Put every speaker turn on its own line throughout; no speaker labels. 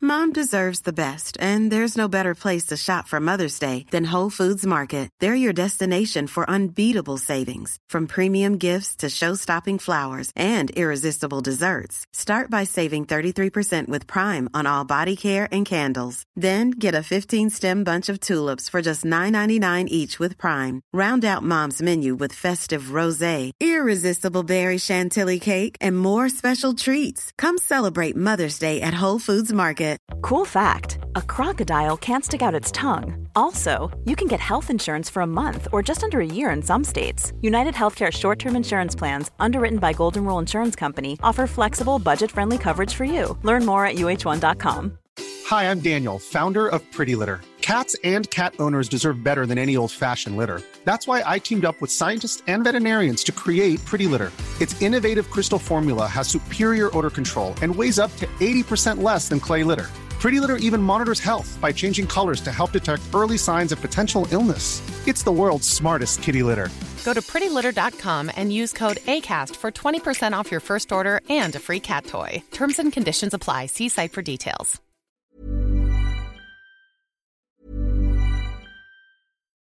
Mom deserves the best, and there's no better place to shop for Mother's Day than Whole Foods Market. They're your destination for unbeatable savings, from premium gifts to show-stopping flowers and irresistible desserts. Start by saving 33% with Prime on all body care and candles. Then get a 15-stem bunch of tulips for just $9.99 each with Prime. Round out Mom's menu with festive rosé, irresistible berry chantilly cake, and more special treats. Come celebrate Mother's Day at Whole Foods Market. Cool fact a crocodile can't stick out its tongue. Also, you can get health insurance for a month or just under a year in some states. United Healthcare short term insurance plans, underwritten by Golden Rule Insurance Company, offer flexible, budget friendly coverage for you. Learn more at uh1.com.
Hi, I'm Daniel, founder of Pretty Litter. Cats and cat owners deserve better than any old fashioned litter. That's why I teamed up with scientists and veterinarians to create Pretty Litter. Its innovative crystal formula has superior odor control and weighs up to 80% less than clay litter. Pretty Litter even monitors health by changing colors to help detect early signs of potential illness. It's the world's smartest kitty litter.
Go to prettylitter.com and use code ACAST for 20% off your first order and a free cat toy. Terms and conditions apply. See site for details.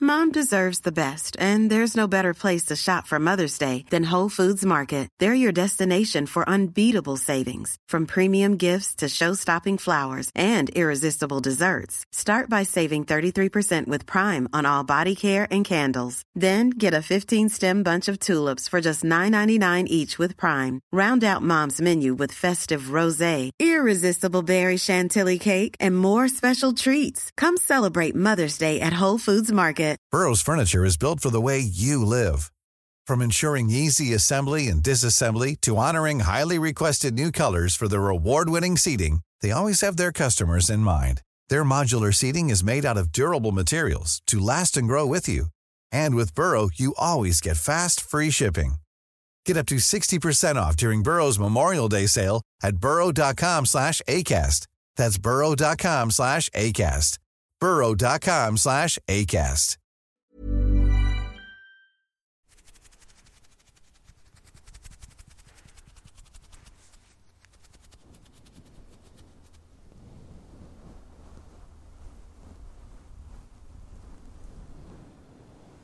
Mom deserves the best, and there's no better place to shop for Mother's Day than Whole Foods Market. They're your destination for unbeatable savings, from premium gifts to show-stopping flowers and irresistible desserts. Start by saving 33% with Prime on all body care and candles. Then get a 15-stem bunch of tulips for just $9.99 each with Prime. Round out Mom's menu with festive rosé, irresistible berry chantilly cake, and more special treats. Come celebrate Mother's Day at Whole Foods Market.
Burrow's furniture is built for the way you live. From ensuring easy assembly and disassembly to honoring highly requested new colors for their award-winning seating, they always have their customers in mind. Their modular seating is made out of durable materials to last and grow with you. And with Burrow, you always get fast, free shipping. Get up to 60% off during Burrow's Memorial Day sale at burrow.com slash ACAST. That's burrow.com slash ACAST. burrow.com slash ACAST.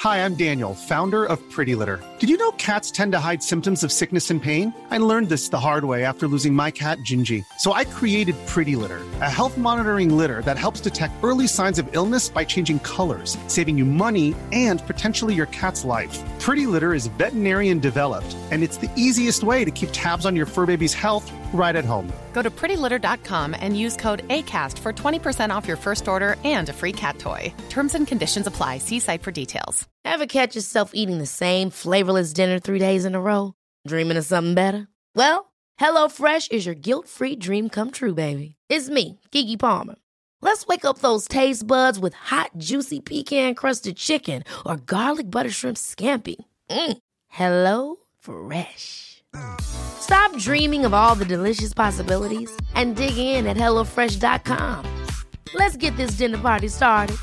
Hi, I'm Daniel, founder of Pretty Litter. Did you know cats tend to hide symptoms of sickness and pain? I learned this the hard way after losing my cat, Gingy. So I created Pretty Litter, a health monitoring litter that helps detect early signs of illness by changing colors saving you money and potentially your cat's life. Pretty Litter is veterinarian developed, and it's the easiest way to keep tabs on your fur baby's health right at home.
Go to prettylitter.com and use code ACAST for 20% off your first order and a free cat toy. Terms and conditions apply. See site for details. Ever catch yourself eating the same flavorless dinner three days in a row? Dreaming of something better? Well, HelloFresh is your guilt free dream come true, baby. It's me, Gigi Palmer. Let's wake up those taste buds with hot, juicy pecan crusted chicken or garlic butter shrimp scampi. Mm. Hello Fresh. Stop dreaming of all the delicious possibilities and dig in at HelloFresh.com. Let's get this dinner party started.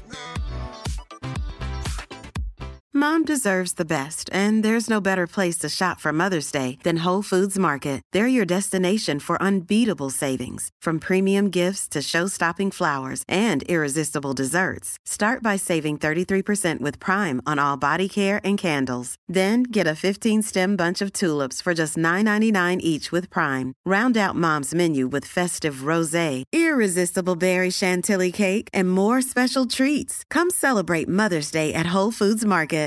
Mom deserves the best, and there's no better place to shop for Mother's Day than Whole Foods Market they're your destination for unbeatable savings, from premium gifts to show-stopping flowers and irresistible desserts. Start by saving 33% with Prime on all body care and candles. Then get a 15-stem bunch of tulips for just $9.99 each with Prime. Round out Mom's menu with festive rosé, irresistible berry chantilly cake, and more special treats. Come celebrate Mother's Day at Whole Foods Market.